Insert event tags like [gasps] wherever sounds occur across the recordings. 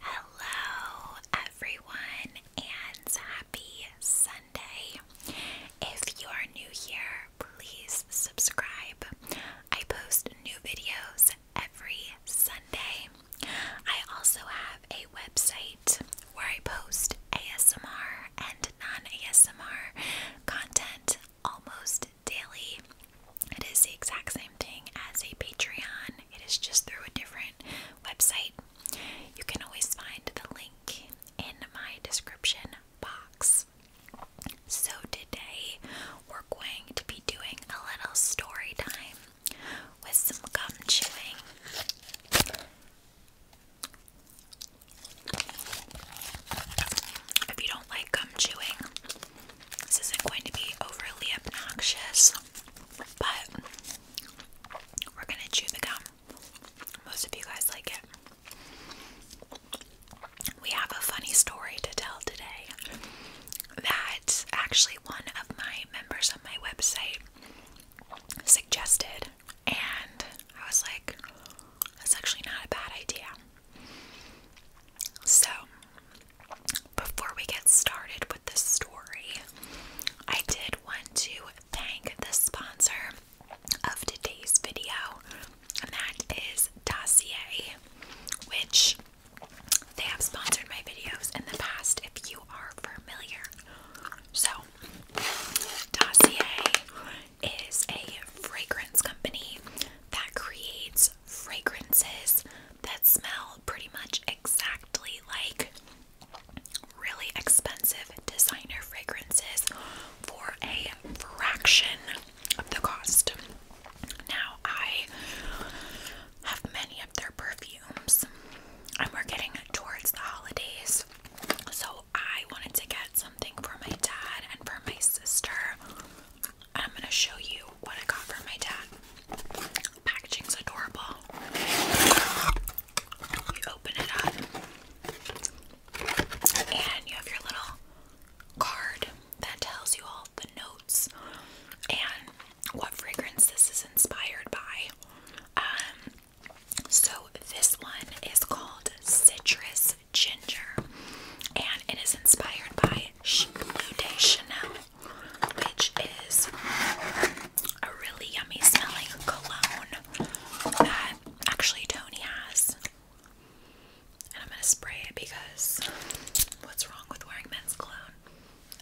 Hello, everyone, and happy Sunday. If you're new here, please subscribe. I post new videos every Sunday. I also have a website where I post ASMR and non ASMR content almost daily. It is the exact same thing as a Patreon, it is just through a different website. You can always find the link in my description box. So, today we're going to be doing a little story time with some gum chewing. If you don't like gum chewing, this isn't going to be overly obnoxious. But we're gonna chew the gum. Most of you guys like it. We have a funny story to tell today. That actually one of my members on my website suggested, and I was like, that's actually not a bad idea. So before we get started with the story, I did want to thank the sponsor of today's video, and that is Dossier, which they have sponsored my videos in the past if you are familiar. So, Dossier is a fragrance company that creates fragrances that smell pretty much exactly like really expensive designer fragrances for a fraction of the cost. Now, I have many of their perfumes, and we're getting towards the holidays, so I wanted to get something for my dad and for my sister. I'm gonna show you what I got for my dad. Packaging's adorable. You open it up, and you have your little card that tells you all the notes and what fragrance this is inspired by. Um, so, this one is called Citrus Ginger, and it is inspired by Blue Day Chanel which is a really yummy smelling cologne that actually Tony has. And I'm gonna spray it because what's wrong with wearing men's cologne?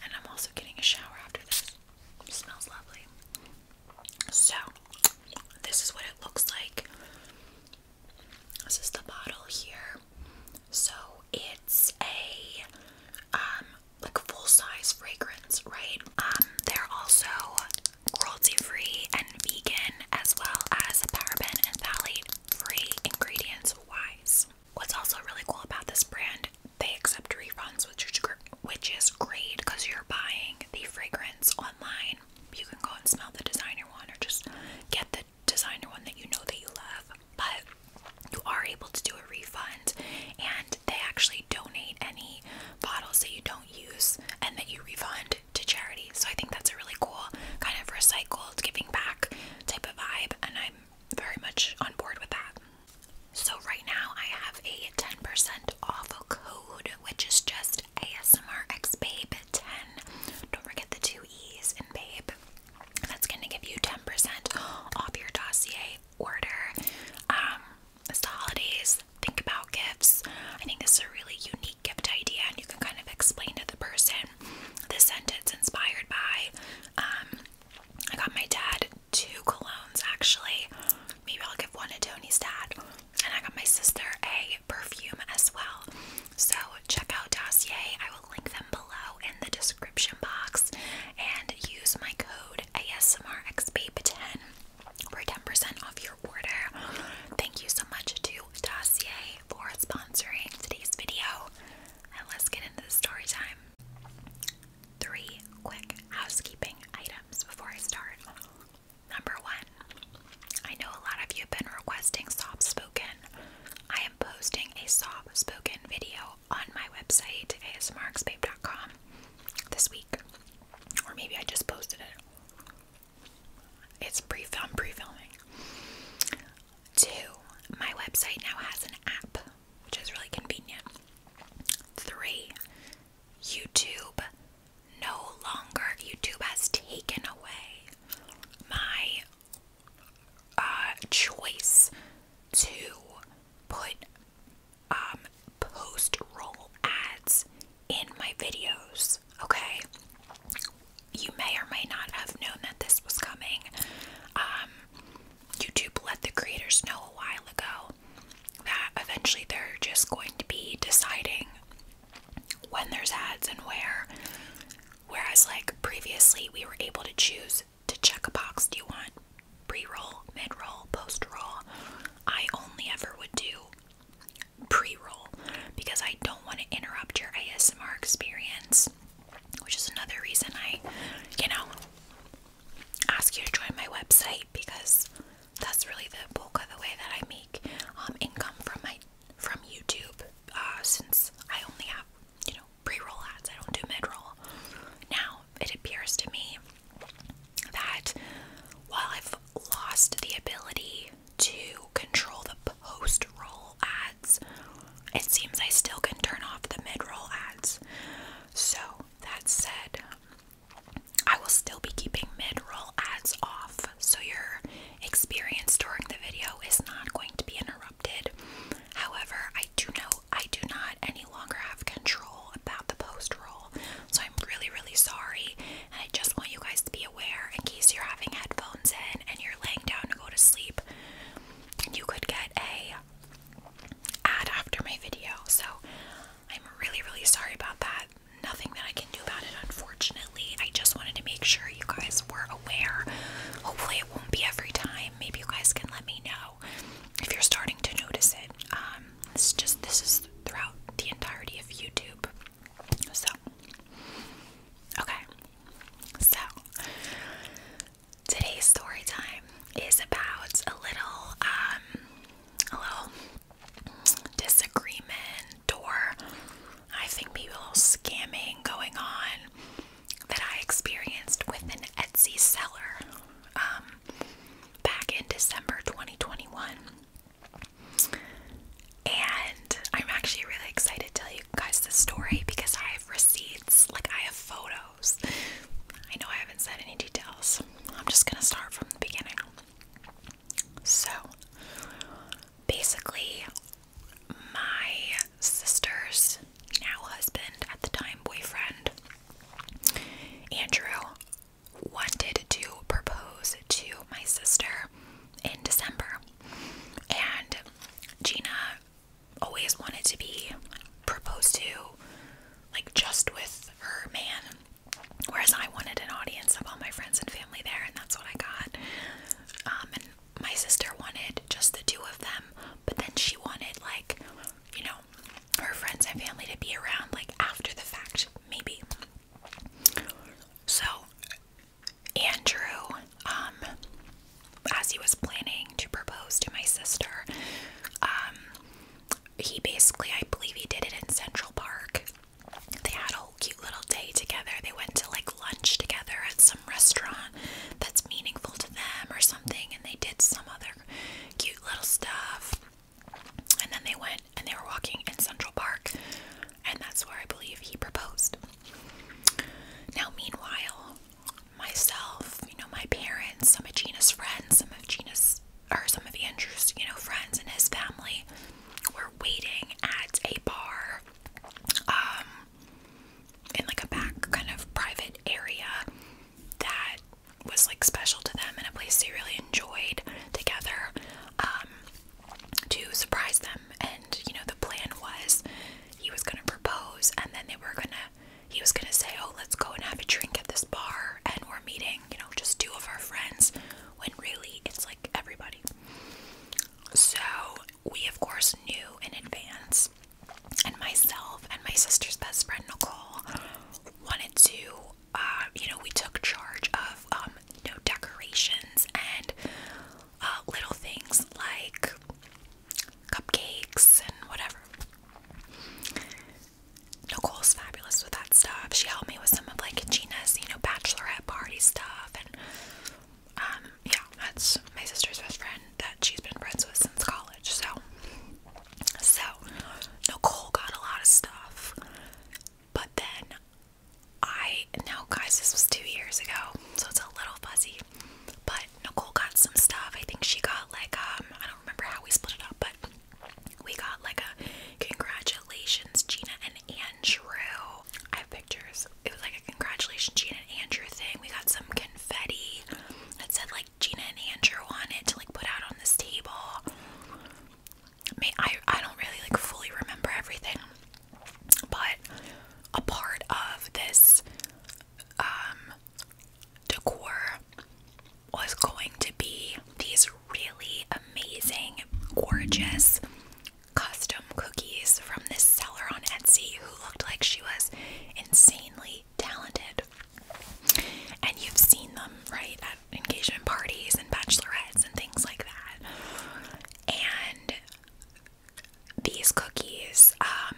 And I'm also getting a shower after this. smells lovely. So, this is what it looks like. This is the bottle here. So it's a um like full size fragrance, right? Um, they're also cruelty free and vegan as well as paraben and phthalate free ingredients wise. What's also really cool about this brand, they accept refunds, which which is great because you're buying the fragrance online. You can go and smell the designer one or just get the designer one that you know that you love but you are able to do a refund and they actually donate any bottles that you don't use and that you refund to charity. So I think that's a really cool kind of recycled giving back type of vibe and I'm very much on board with that. So right now I have a 10% off a code which is just ASMRXBabe10. Don't forget the two E's in babe. That's gonna give you 10% off your dossier order. Um, the holidays. Think about gifts. I think this is a really unique gift idea, and you can kind of explain to the person the sentence inspired by. Um, I got my dad two colognes actually. Maybe I'll give one to Tony's dad, and I got my sister a perfume as well. So check out Dossier. I link them below in the description box and use my code ASMRXBabe10 for 10% off your order. Thank you so much to Dossier for sponsoring today's video. And let's get into the story time. Three quick housekeeping items before I start. Number one, I know a lot of you have been requesting soft spoken. I am posting a soft spoken video on my website, asmrxbabe.com, this week. Or maybe I just posted it. It's pre film, pre filming. Two, my website now has an app, which is really convenient. Three, YouTube no longer, YouTube has taken away my uh, choice to put um, post roll ads in my videos, okay? You may or may not have known that this was coming. Um, YouTube let the creators know a while ago that eventually they're just going to be deciding when there's ads and where. Whereas, like previously, we were able to choose to check a box do you want pre-roll, mid-roll, post-roll? I only ever would do pre-roll because I don't want to interrupt your ASMR experience, which is another reason I, you know, ask you to join my website because that's really the bulk of the way that I make um, income from my from YouTube uh, since I only have you know pre roll ads, I don't do mid roll. Now, it appears to me that while I've lost the ability to control the post roll ads, it seems I still can turn off the mid roll ads. So, that said, I will still be keeping mid roll ads off so your experience during the video is not going to be interrupted. However, I do know I do not any longer have control about the post roll, so I'm really, really sorry. And I just want you guys to be aware in case you're having headphones in and you're laying down to go to sleep, you could get a ad after my video. So I'm really, really sorry about that. Nothing that I can do about it, unfortunately. I just wanted to make sure you guys were aware. Hopefully, it won't be every time. Maybe you guys can let me know if you're starting to notice it, um, this is just this is throughout the entirety of YouTube. So, okay, so today's story time is about a little, um, a little disagreement or I think maybe a little scamming going on that I experienced with an Etsy seller um, back in December 2021. And I'm actually really excited to tell you guys this story because I have receipts, like I have photos. I know I haven't said any details. I'm just gonna start from the beginning. So basically, my sister's now husband, at the time boyfriend, Andrew, wanted to propose to my sister in December. And Gina always wanted to be proposed to, like just with her man. Whereas I wanted an audience of all my friends and family there, and that's what I got. Um, and my sister wanted just the two of them but then she wanted, like, you know, her friends and family to be around, like, after the fact, maybe. So, Andrew, um, as he was planning to propose to my sister, um, he basically, I believe he did it in Central Park. They had a whole cute little day together. They went to like lunch together at some restaurant that's meaningful to them or something, and they did some other cute little stuff. And then they went and they were walking in Central Park, and that's where I believe he proposed. Now, meanwhile, myself, you know, my parents, some of Gina's friends, some of Gina's or some of Andrew's, you know, friends and his family were waiting at a bar um, in like a back kind of private area that was like special to them and a place they really enjoyed together um, to surprise them. And you know, the plan was he was gonna propose and then they were gonna, he was gonna say, Oh, let's go and have a drink at this bar and we're meeting, you know, just two of our friends when really it's like everybody. So we, of course, knew in advance and myself and my sister's best friend Nicole wanted to, uh, you know, we took charge of, um, you know, decorations and uh, little things like cupcakes and whatever. Nicole's fabulous with that stuff. She helped me with some of like Gina's, you know, bachelorette party stuff, and um, yeah, that's my sister's best friend that she's been friends with since college. So, so Nicole got a lot of stuff, but then I now, guys, this was two years ago, so it's a little fuzzy. But Nicole got some stuff. I think she got like um, I don't remember how we split it up, but we got like a congratulations, Gina and Andrew. I have pictures. It was like a congratulations, Gina and Andrew thing. We got some confetti that said like Gina and Andrew wanted to like put out on this table. I I I don't really like fully remember everything, but a part of this um decor was going to be these really amazing, gorgeous custom cookies from this seller on Etsy who looked like she was insanely talented. And you've seen them, right, at engagement parties and bachelorettes and things like that. And these cookies, um,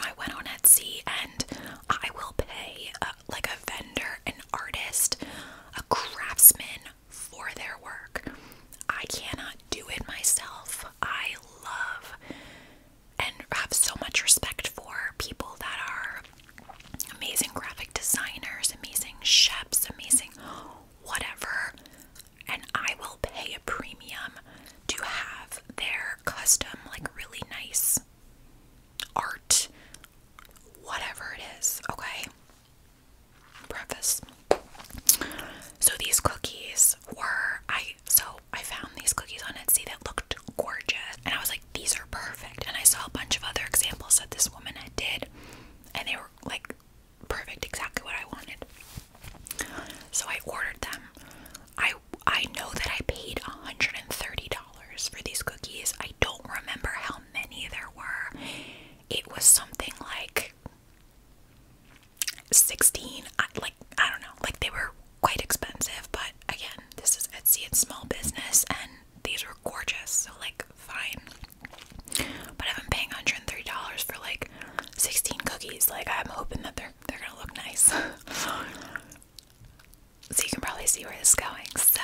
I went on Etsy and I will pay uh, like a vendor, an artist, a craftsman for their work. I cannot do it myself. I love and have so much respect for people that are amazing graphic designers, amazing chefs, amazing whatever. And I will pay a premium to have their custom, like really nice art, whatever it is, okay? Preface. So these cookies were I so I found these cookies on Etsy that looked gorgeous, and I was like, these are perfect. And I saw a bunch of other examples that this woman did, and they were like perfect, exactly what I wanted. So I ordered them. I I know that I paid $130 for these cookies. I don't remember how many there were. It was something like 16 like I don't know. Like they were quite expensive, but again, this is Etsy and small business, and these were gorgeous, so like fine. But I've been paying $130 for like 16 cookies. Like I'm hoping that they're they're gonna look nice. [laughs] so you can probably see where this is going. So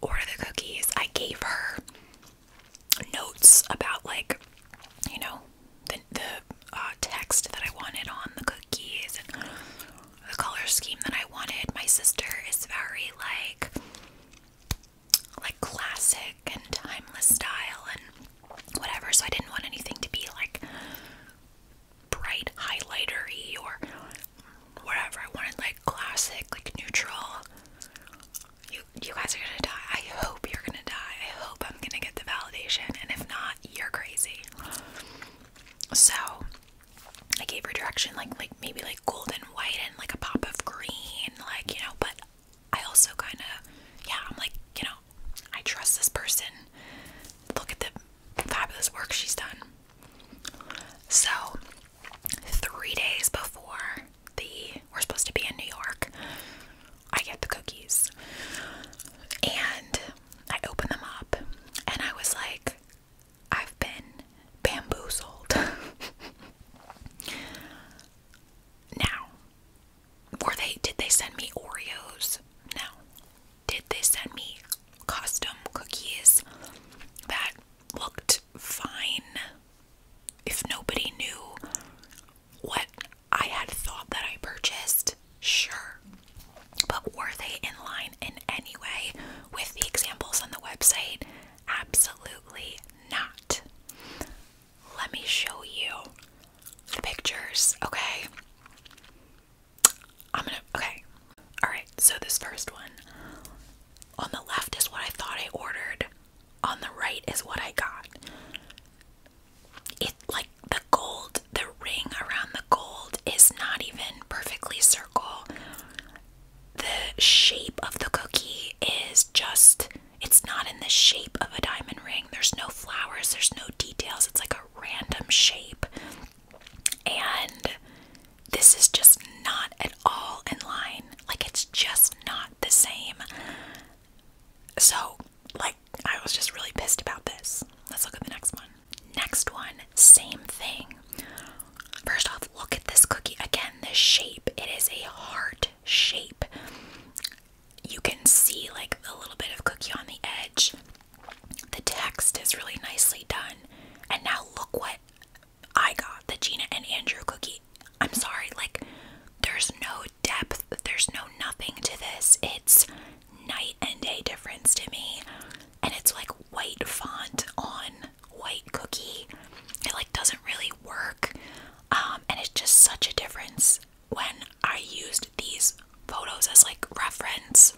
order the cookies. I gave her notes about like, you know, the, the uh, text that I wanted on the cookies and the color scheme that I wanted. My sister is very like like classic and timeless style and whatever, so I didn't want anything to be like bright highlightery or whatever. I wanted like classic, like neutral. You you guys are gonna die. I hope you're gonna die. I hope I'm gonna get the validation and if not, you're crazy. So I gave her direction like like maybe like golden white and like a pop of green, like, you know, but I also kinda yeah, I'm like, you know, I trust this person. Look at the fabulous work she's done. So three days before the we're supposed to be in New York, I get the cookies. And I opened them up and I was like, I've been bamboozled. [laughs] now, were they did they send me Oreos? No. Did they send me custom cookies that looked fine if nobody knew what I had thought that I purchased, sure. But were they in line in any way with the examples on the website? Absolutely not. Let me show you the pictures, okay? I'm gonna, okay. Alright, so this first one on the left is what I thought I ordered, on the right is what I got it like the gold, the ring around the gold is not even perfectly circle. The shape of the cookie is just it's not in the shape of a diamond ring. There's no flowers, there's no details. It's like a random shape. And this is just not at all in line. Like it's just not the same. So, like I was just really pissed about this. Let's look at the next one. Next one, same thing. First off, look at this cookie. Again, the shape. It is a heart shape. You can see like a little bit of cookie on the edge. The text is really nicely done. And now look what I got the Gina and Andrew cookie. I'm sorry, like, there's no depth, there's no nothing to this. It's night and a difference to me. And it's like white font on white cookie. It like doesn't really work. Um, and it's just such a difference when I used these photos as like reference.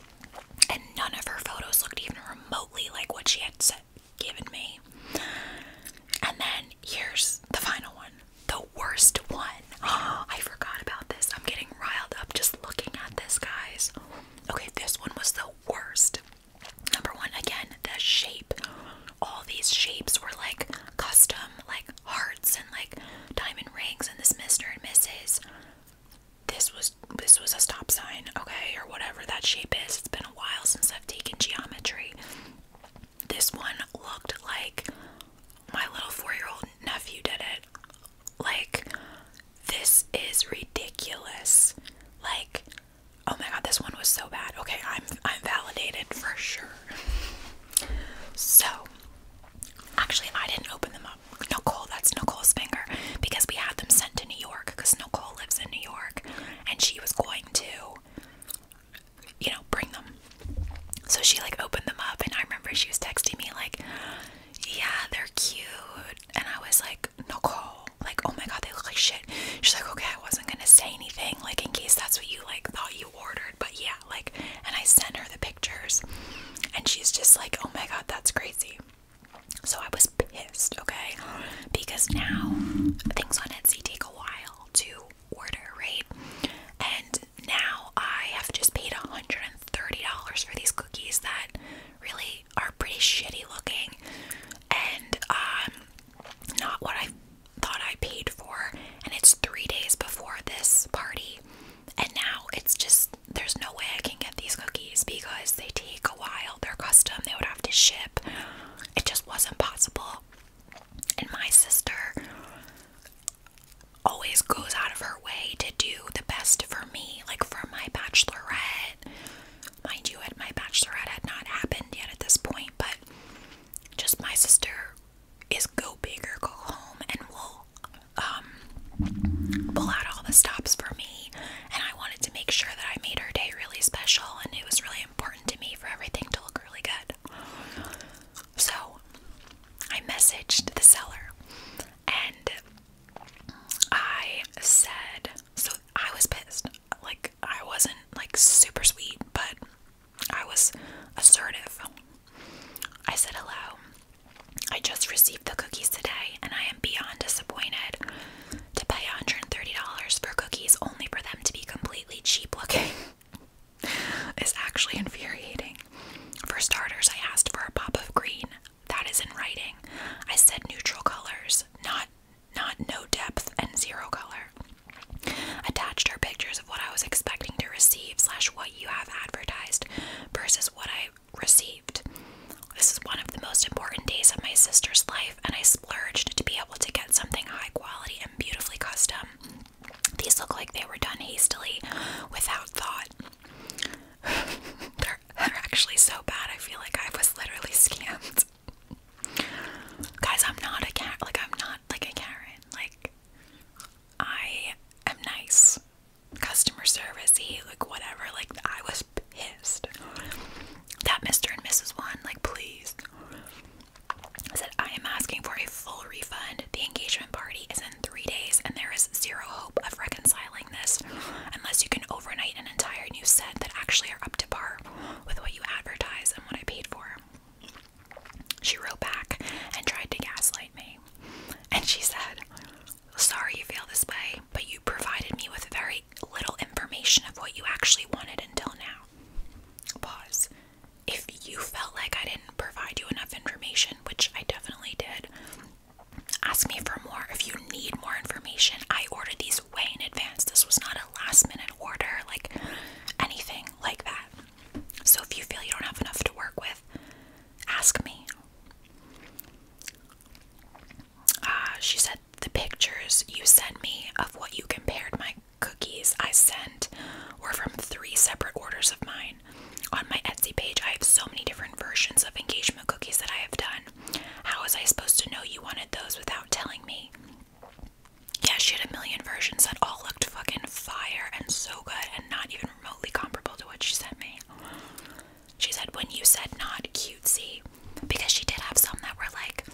And none of her photos looked even remotely like what she had said, given me. And then here's the final one worst one. [gasps] I forgot about this. I'm getting riled up just looking at this, guys. Okay, this one was the worst. Number one, again, the shape. All these shapes were like custom, like hearts and like diamond rings and this Mr. and Misses. This was this was a stop sign, okay, or whatever that shape is. It's been a while since I've taken geometry. This one looked like my little four-year-old nephew did it. Like, this is ridiculous. Like, oh my god, this one was so bad. Okay, I'm I'm validated for sure. So, actually, I didn't open them up. Nicole, that's Nicole's finger, because we had them sent to New York, because Nicole lives in New York, and she was going to, you know, bring them. So she like opened them up, and I remember she was texting me like, yeah, they're cute. And I was like, Nicole, like, oh my god, they look like shit. She's like, okay, I wasn't gonna say anything, like in case that's what you like thought you ordered, but yeah, like and I sent her the pictures and she's just like, Oh my god, that's crazy. So I was pissed, okay? Because now things on Etsy take a while to order, right? And now I have just paid $130 for these cookies that really are pretty shitty looking and um not what I thought I paid for and it's 3 days before this party and now it's just there's no way I can get these cookies because they take a while they're custom they would have to ship it just wasn't possible and my sister always goes out of her way to do the best for me, like for my bachelorette. Mind you, at my bachelorette had not happened yet at this point, but just my sister is go big or go home and will um, pull out all the stops for me and I wanted to make sure that I made her day really special and it was really important to me for everything to look really good. So I messaged the seller and I said, so I was pissed. Like, I wasn't like super sweet, but I was assertive. I said, hello. I just received the cookies today and I am beyond disappointed to pay $130 for cookies only for them to be completely cheap looking. is [laughs] actually infuriating. For starters, I asked for a pop of green. That is in writing. I said neutral colors, not not no depth and zero color. Attached are pictures of what I was expecting to receive slash what you have advertised versus what I received. This is one of the most important days of my sister's life, and I splurged to be able to get something high quality and beautifully custom. These look like they were done hastily, without thought. [laughs] they're, actually so bad. I feel like I was literally scammed. Guys, I'm not a cat. Like I'm not like a Karen. Like I am nice, customer servicey, like whatever. Like I was pissed. That Mr. and Mrs. One, like please. I said I am asking for a full refund. The engagement party is not three days, and there is zero hope of reconciling this unless you can overnight an entire new set that actually are up to par with what you advertise and what I paid for. She wrote back and tried to gaslight me. And she said, Sorry you feel this way, but you provided me with very little information of what you actually wanted until now. Pause. If you felt like I didn't provide you enough information, which I definitely did, Ask me for more if you need more information. I ordered these way in advance. This was not a last minute order, like anything like that. So if you feel you don't have enough to work with, ask me. Uh, she said, The pictures you sent me of what you compared my cookies I sent were from three separate orders of mine. On my Etsy page, I have so many different versions of engagement cookies that I have done. How was I supposed to know you wanted those without telling me? Yeah, she had a million versions that all looked fucking fire and so good and not even remotely comparable to what she sent me. She said, when you said not cutesy, because she did have some that were like,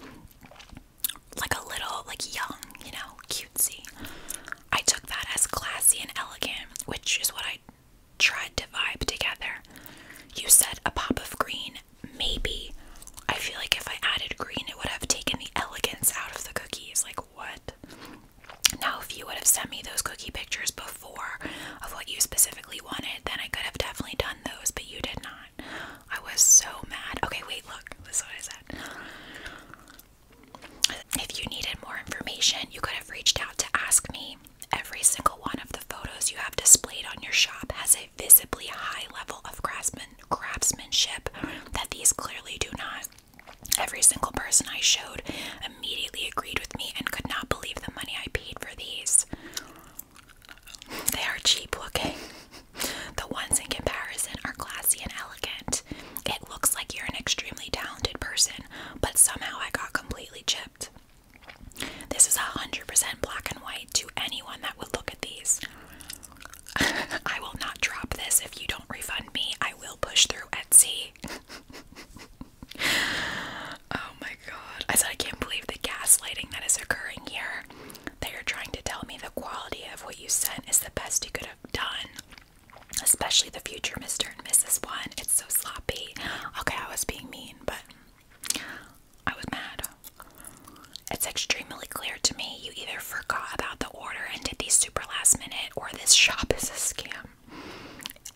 like a little, like young, you know, cutesy. I took that as classy and elegant, which is what I tried to vibe together. You said a pop of green, maybe. I feel like if I added green, it would have taken the elegance out of the cookies. Like, what? Now, if you would have sent me those cookie pictures before of what you specifically wanted, then I could have definitely done those, but you did not. I was so mad. Okay, wait, look. This is what I said. If you needed more information, you could have reached out to ask me. Every single one of the photos you have displayed on your shop has a visibly high level of craftsmanship that these clearly do not. Every single person I showed immediately agreed with me and could not believe the money I paid for these. They are cheap looking. The ones in comparison are classy and elegant. It looks like you're an extremely talented person but somehow I got completely chipped. This is 100% black and white to anyone that would look at these. [laughs] I will not drop this if you don't refund me. I will push through Etsy. [laughs] oh my god. I said, I can't believe the gaslighting that is occurring here. They are trying to tell me the quality of what you sent is the best you could have done. Especially the future Mr. and Mrs. One. It's so sloppy. Okay, I was being mean, but I was mad. It's extremely clear to me you either forgot about the order and did these super last minute, or this shop is a scam.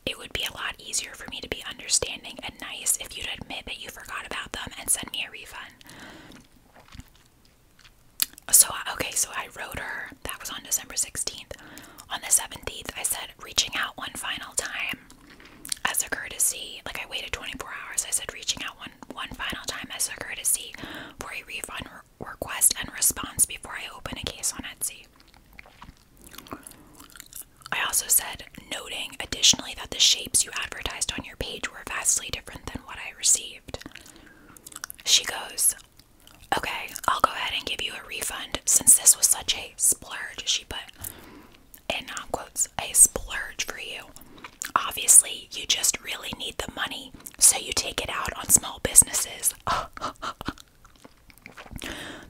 It would be a lot easier for me to be understanding and nice if you'd admit that you forgot about them and send me a refund. So, okay, so I wrote her, that was on December 16th on the 17th, I said, reaching out one final time as a courtesy. Like, I waited 24 hours. I said, reaching out one, one final time as a courtesy for a refund request and response before I open a case on Etsy. I also said, noting additionally that the shapes you advertised on your page were vastly different than what I received. She goes, Okay, I'll go ahead and give you a refund since this was such a splurge, she put in um, quotes, a splurge for you. Obviously, you just really need the money, so you take it out on small businesses. [laughs]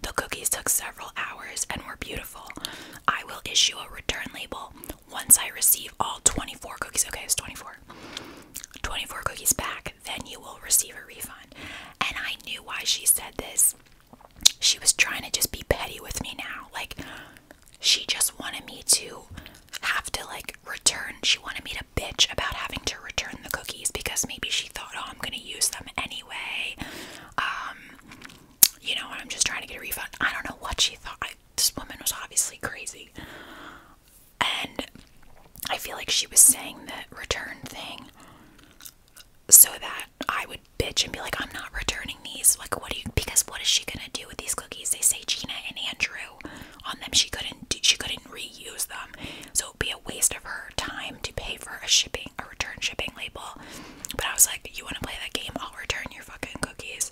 the cookies took several hours and were beautiful. I will issue a return label once I receive all 24 cookies. Okay, it's 24. 24 cookies back then you will receive a refund. And I knew why she said this. She was trying to just be petty with me now. Like, she just wanted me to have to, like, return. She wanted me to bitch about having to return the cookies because maybe she thought, oh, I'm going to use them anyway. Um, you know, I'm just trying to get a refund. I don't know what she thought. this woman was obviously crazy. And I feel like she was saying the return thing so that I would bitch and be like, I'm not returning these. Like, what do you, because what is she gonna do with these cookies? They say Gina and Andrew on them. She couldn't, she couldn't reuse them. So it'd be a waste of her time to pay for a shipping, a return shipping label. But I was like, you wanna play that game? I'll return your fucking cookies.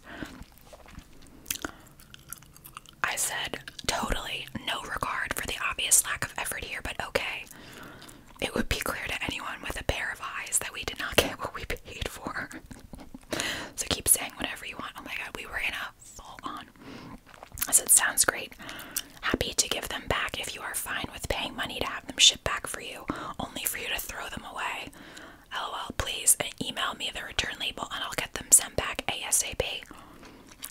I said, totally no regard for the obvious lack of effort here, but okay. It would be clear to anyone with a pair of eyes that we did not get what we paid for. [laughs] so keep saying whatever you want. Oh my god, we were in a full on. I said, sounds great. Happy to give them back if you are fine with paying money to have them shipped back for you, only for you to throw them away. LOL, please uh, email me the return label and I'll get them sent back ASAP.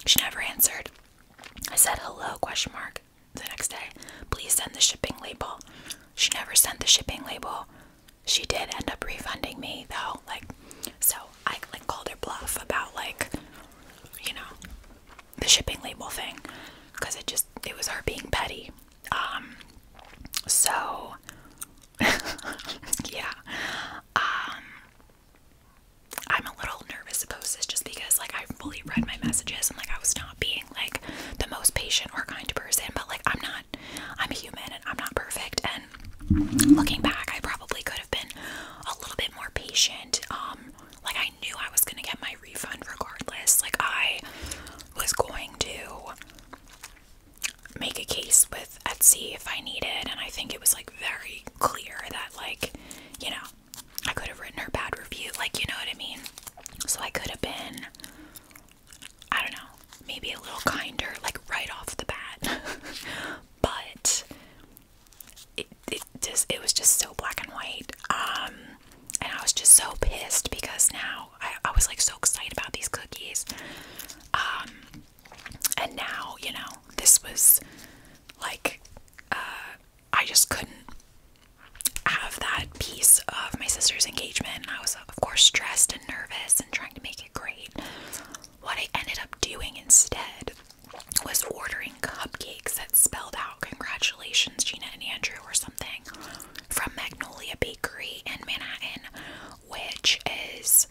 She never answered. I said hello question mark the next day. Please send the shipping label. She never sent the shipping label. She did end up refunding me though, like so I like called her bluff about like you know the shipping label thing because it just it was her being petty. Um, so [laughs] yeah. Um, I'm a little nervous about this just because like I fully read my messages and like I was not being like the most patient or kind person, but like I'm not I'm a human and I'm not perfect and looking back I probably could have been a little bit more patient. Um, like I knew I was gonna get my refund regardless. Like I was going to make a case with Etsy if I needed and I think it was like very clear that like, you know, I could have written her bad review, like you know what I mean? So I could have been I don't know, maybe a little kinder, like right off the bat. [laughs] but it, it just it was just so black and white. Um, and I was just so pissed because now I, I was like so excited about these cookies. Um and now, you know, this was like uh, I just couldn't have that piece of my sister's engagement. And I was, of course, stressed and nervous and trying to make it great. What I ended up doing instead was ordering cupcakes that spelled out congratulations, Gina and Andrew, or something from Magnolia Bakery in Manhattan, which is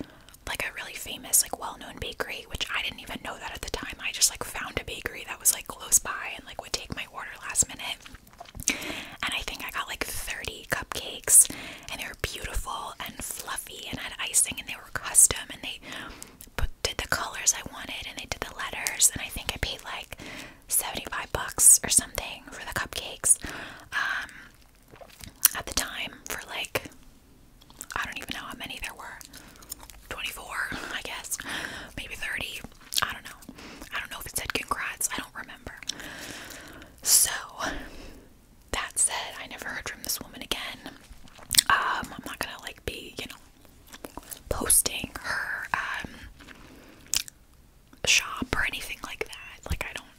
like a really famous, like well known bakery which I didn't even know that at the time. I just like found a bakery that was like close by and like would take my order last minute. And I think I got like 30 cupcakes and they were beautiful and fluffy and had icing and they were custom and they did the colors I wanted and they did the letters and I think I paid like 75 bucks or something for the cupcakes um, at the time for like I don't even know how many there were 24, I guess, maybe 30. I don't know. I don't know if it said congrats, I don't remember. So, that said, I never heard from this woman again. Um, I'm not gonna like be, you know, posting her um, shop or anything like that. Like, I don't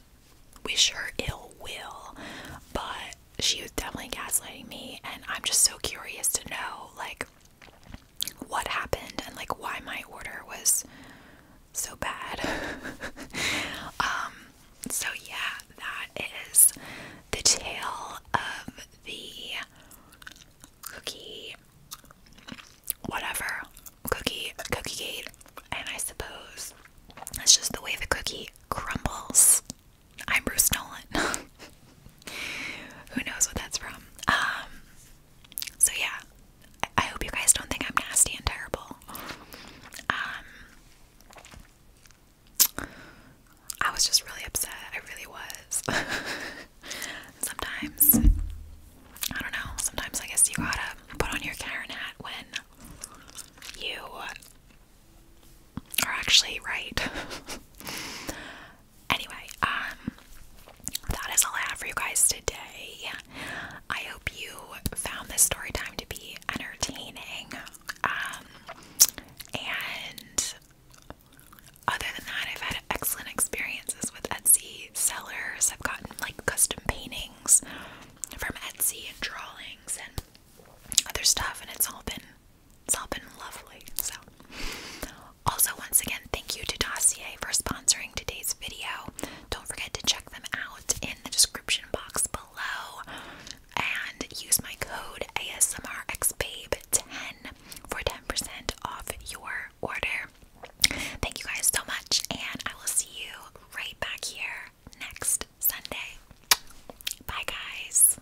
wish her ill will, but she was definitely gaslighting me and I'm just so curious to know like what happened and like why my order was so bad. [laughs] um so yeah, that is the tale of the cookie whatever cookie cookie gate and I suppose that's just the way the cookie crumbles I'm Bruce Nolan. [laughs] Who knows what that's from? Um, so yeah, I, hope you guys don't think I'm nasty and terrible. Um, I was just really upset. I really was. [laughs] sometimes, I don't know. Sometimes I guess you gotta put on your Karen hat when you are actually right. [laughs] anyway, um, that is all I have for you guys today. I hope you found this story time to be entertaining. Um, and other than that, I've had excellent experiences with Etsy sellers. I've gotten like custom paintings from Etsy and drawings and other stuff, and it's all been it's all been lovely. So, also, once again, thank you to Dossier for sponsoring today's video. Don't forget to check them out in the description box below and use my code ASMRXBabe10 for 10% off your order. Thank you guys so much, and I will see you right back here next Sunday. Bye, guys.